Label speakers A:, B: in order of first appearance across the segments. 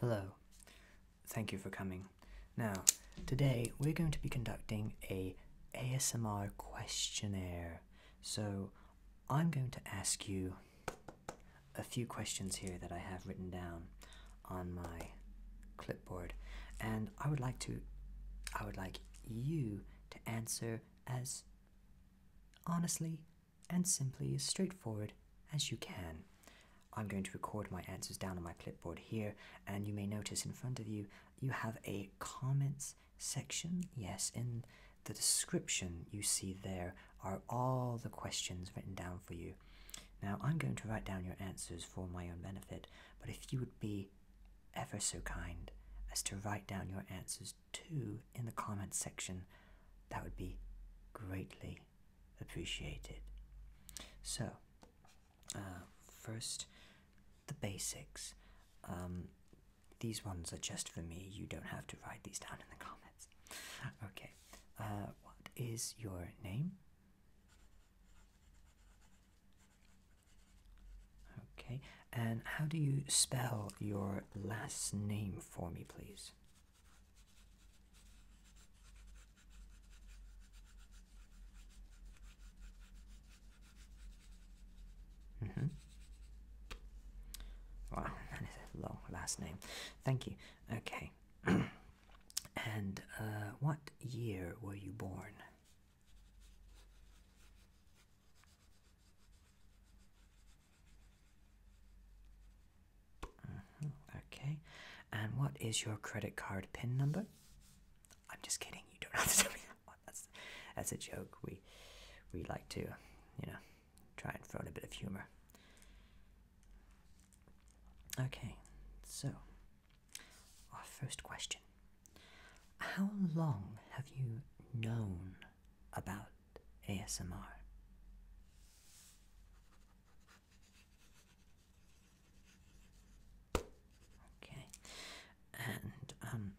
A: Hello. Thank you for coming. Now, today we're going to be conducting a ASMR questionnaire. So, I'm going to ask you a few questions here that I have written down on my clipboard and I would like to I would like you to answer as honestly and simply as straightforward as you can. I'm going to record my answers down on my clipboard here, and you may notice in front of you you have a comments section. Yes, in the description you see there are all the questions written down for you. Now, I'm going to write down your answers for my own benefit, but if you would be ever so kind as to write down your answers too in the comments section, that would be greatly appreciated. So, uh, first, the basics. Um, these ones are just for me, you don't have to write these down in the comments. Okay, uh, what is your name? Okay, and how do you spell your last name for me, please? Mm -hmm. Wow, that is a long last name. Thank you. Okay. and uh, what year were you born? Mm-hmm. Okay. And what is your credit card PIN number? I'm just kidding. You don't have to tell me that one. That's that's a joke. We we like to, you know, try and throw in a bit of humor. Okay. So, our first question How long have you known about ASMR? Okay, and um,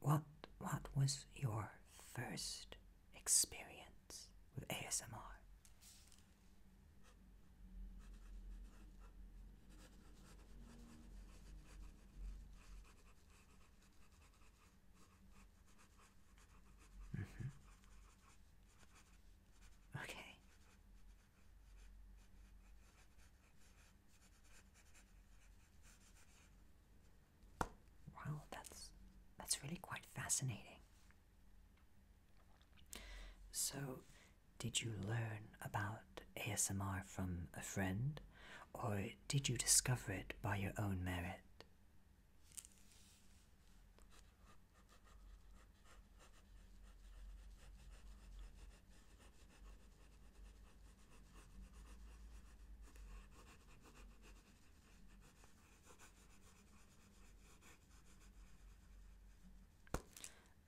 A: what what was your first experience with ASMR? Mm -hmm. Okay. Wow, that's that's really quite fascinating. So did you learn about ASMR from a friend, or did you discover it by your own merit?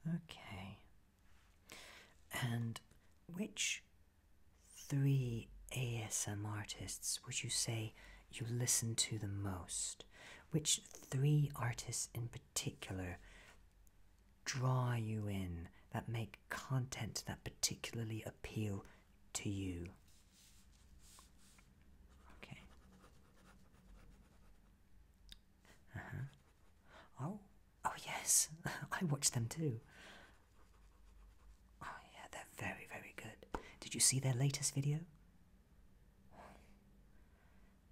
A: Okay, and which three ASM artists would you say you listen to the most? Which three artists in particular draw you in, that make content that particularly appeal to you? Okay. Uh -huh. Oh, oh yes, I watched them too. Oh yeah, they're very, very good. Did you see their latest video?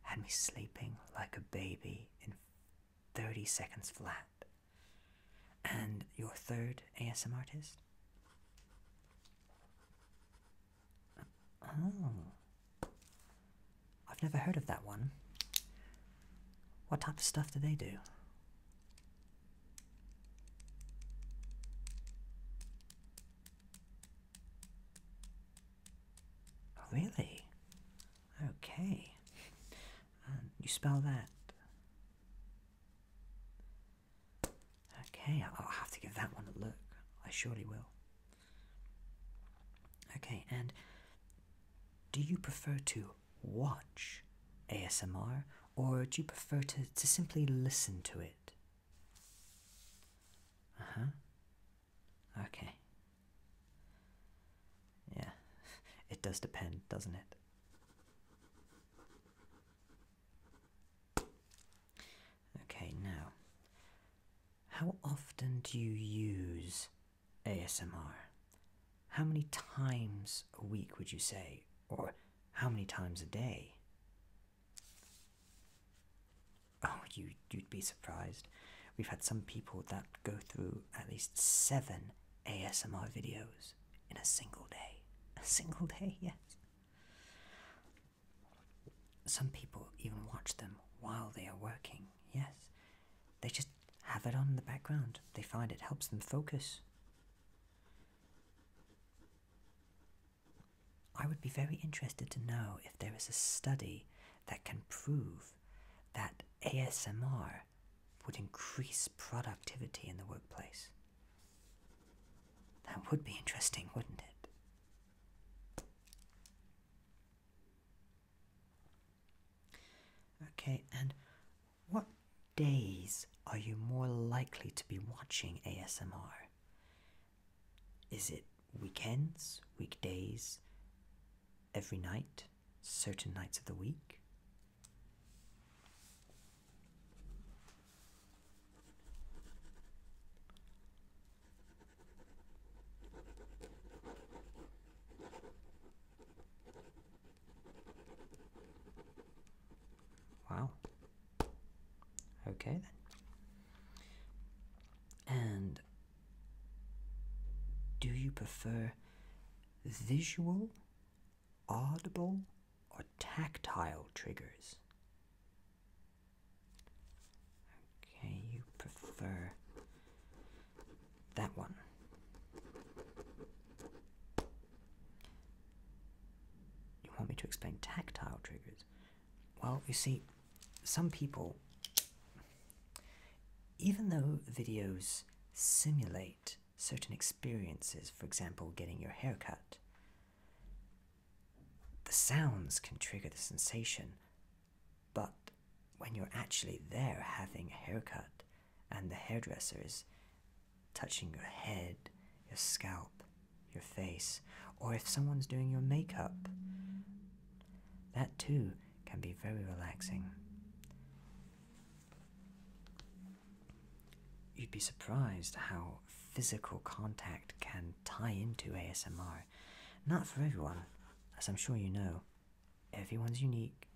A: Had me sleeping like a baby in 30 seconds flat. And your third ASM artist? Oh, I've never heard of that one. What type of stuff do they do? Oh, really? Okay. Um, you spell that. Okay, I'll have to give that one a look. I surely will. Okay, and do you prefer to watch ASMR or do you prefer to, to simply listen to it? Uh huh. Okay. Yeah, it does depend, doesn't it? Okay, now how often do you use ASMR? How many times a week would you say? Or how many times a day? Oh, you, you'd be surprised. We've had some people that go through at least seven ASMR videos in a single day. A single day, yes. Some people even watch them while they are working, yes. They just have it on in the background. They find it helps them focus. I would be very interested to know if there is a study that can prove that ASMR would increase productivity in the workplace. That would be interesting, wouldn't it? Okay, and what days are you more likely to be watching ASMR? Is it weekends, weekdays, every night, certain nights of the week? Wow. Okay then. And do you prefer visual, audible, or tactile triggers? Okay, you prefer that one. You want me to explain tactile triggers? Well, you see, some people, even though videos simulate certain experiences, for example, getting your hair cut, the sounds can trigger the sensation, but when you're actually there having a haircut and the hairdresser is touching your head, your scalp, your face, or if someone's doing your makeup, that too can be very relaxing. You'd be surprised how physical contact can tie into ASMR. Not for everyone, as I'm sure you know. Everyone's unique,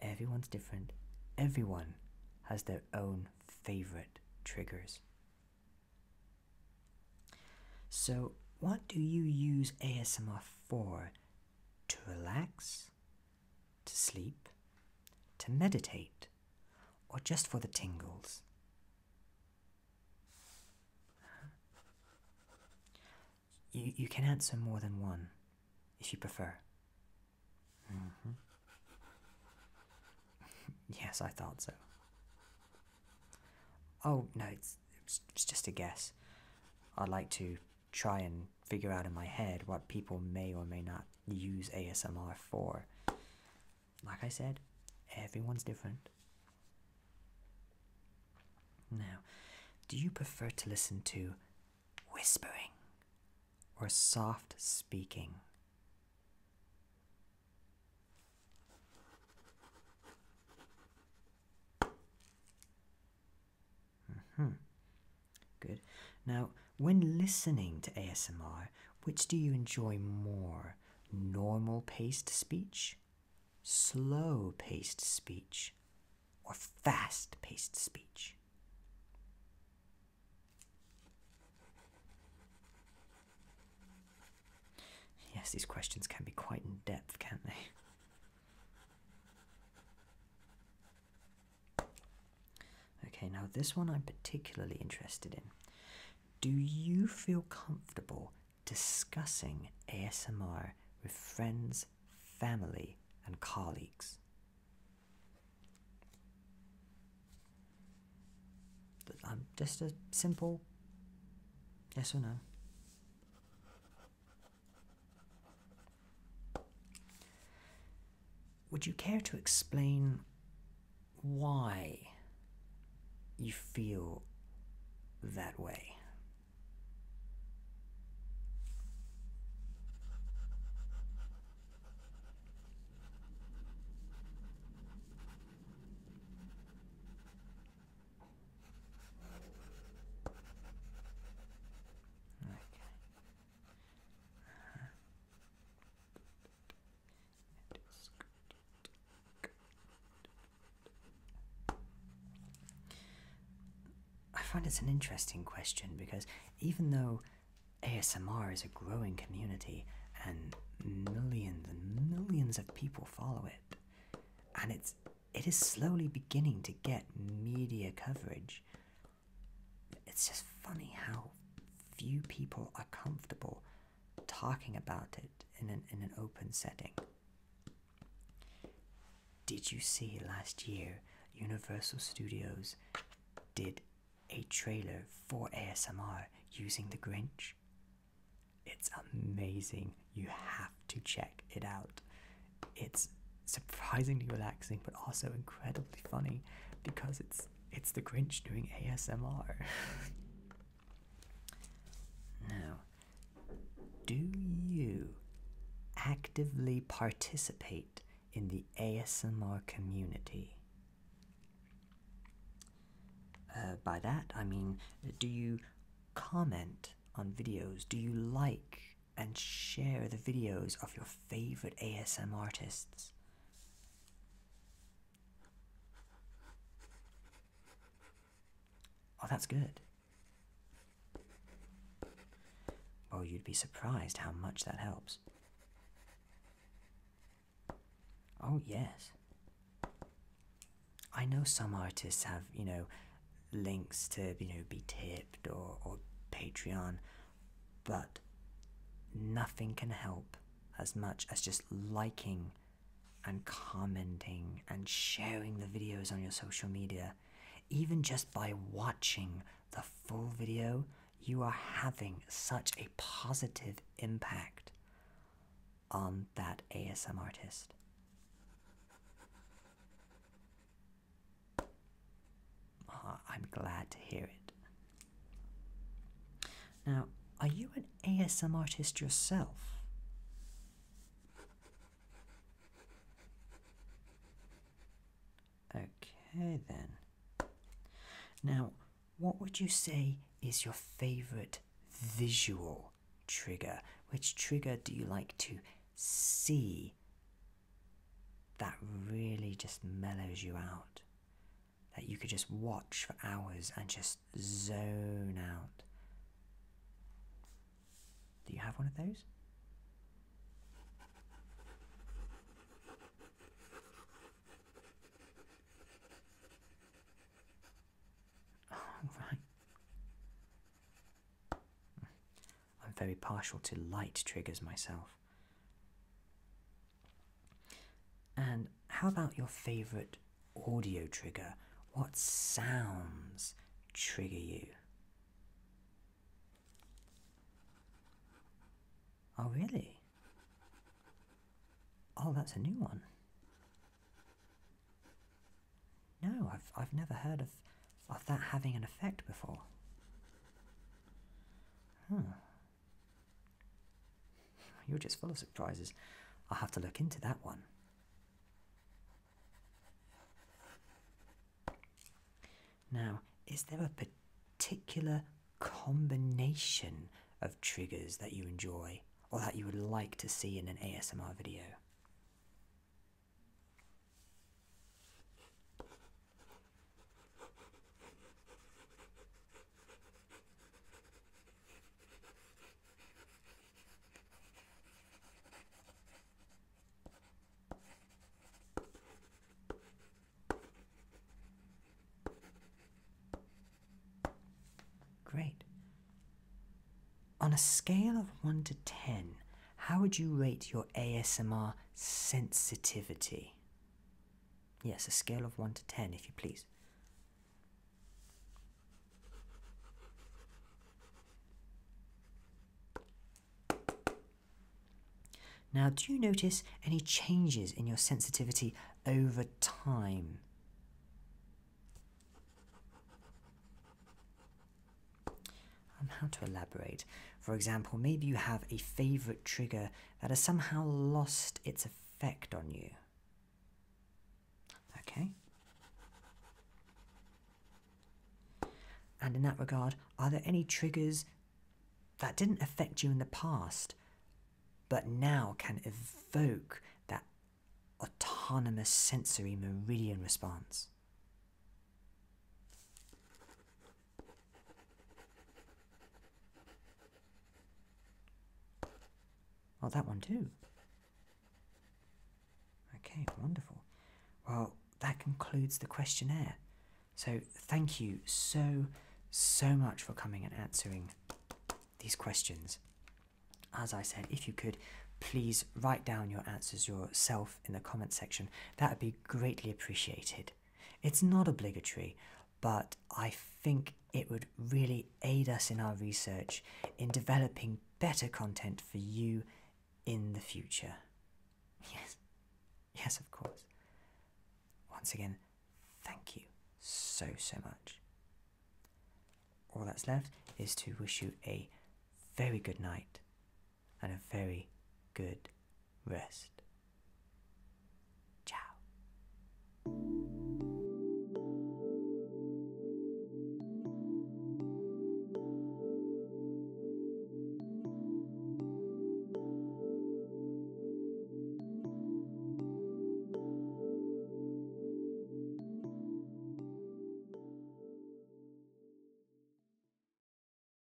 A: everyone's different, everyone has their own favorite triggers. So, what do you use ASMR for? To relax? To sleep? To meditate? Or just for the tingles? You, you can answer more than one if you prefer. Mm-hmm. yes, I thought so. Oh, no, it's, it's just a guess. I'd like to try and figure out in my head what people may or may not use ASMR for. Like I said, everyone's different. Now, do you prefer to listen to whispering or soft speaking? Mm-hmm. Good. Now, when listening to ASMR, which do you enjoy more? normal paced speech, slow paced speech, or fast paced speech. Yes, these questions can be quite in depth, can't they? Okay, now this one I'm particularly interested in do you feel comfortable discussing ASMR with friends, family, and colleagues? Um, just a simple yes or no. Would you care to explain why you feel that way. Okay. Uh-huh. I find it's an interesting question because even though ASMR is a growing community and millions and millions of people follow it, and it's it is slowly beginning to get media coverage. It's just funny how few people are comfortable talking about it in an, in an open setting. Did you see last year Universal Studios did a trailer for ASMR using The Grinch? It's amazing. You have to check it out. It's surprisingly relaxing but also incredibly funny because it's it's the Grinch doing ASMR. now, do you actively participate in the ASMR community? Uh, by that, I mean, do you comment on videos? Do you like and share the videos of your favorite ASM artists? Oh, that's good. Well, oh, you'd be surprised how much that helps. Oh, yes. I know some artists have, you know, links to, you know, be tipped or, or Patreon, but nothing can help as much as just liking and commenting and sharing the videos on your social media. Even just by watching the full video, you are having such a positive impact on that ASM artist. Ah, I'm glad to hear it. Now, are you an ASM artist yourself? Okay, then. Now, what would you say is your favorite visual trigger? Which trigger do you like to see that really just mellows you out? that you could just watch for hours and just zone out. Do you have one of those? Oh, I'm very partial to light triggers myself. And how about your favorite audio trigger? What sounds trigger you? Oh, really? Oh, that's a new one. No, I've, I've never heard of, of that having an effect before. Hmm, you're just full of surprises. I'll have to look into that one. Now, is there a particular combination of triggers that you enjoy or that you would like to see in an ASMR video? Great. On a scale of 1 to 10, how would you rate your ASMR sensitivity? Yes, a scale of 1 to 10, if you please. Now, do you notice any changes in your sensitivity over time? Um, how to elaborate? For example, maybe you have a favorite trigger that has somehow lost its effect on you. Okay? And in that regard, are there any triggers that didn't affect you in the past, but now can evoke that autonomous sensory meridian response? Well, oh, that one too. Okay, wonderful. Well, that concludes the questionnaire. So thank you so, so much for coming and answering these questions. As I said, if you could, please write down your answers yourself in the comment section. That would be greatly appreciated. It's not obligatory, but I think it would really aid us in our research in developing better content for you in the future. Yes, yes, of course. Once again, thank you so, so much. All that's left is to wish you a very good night and a very good rest. Ciao.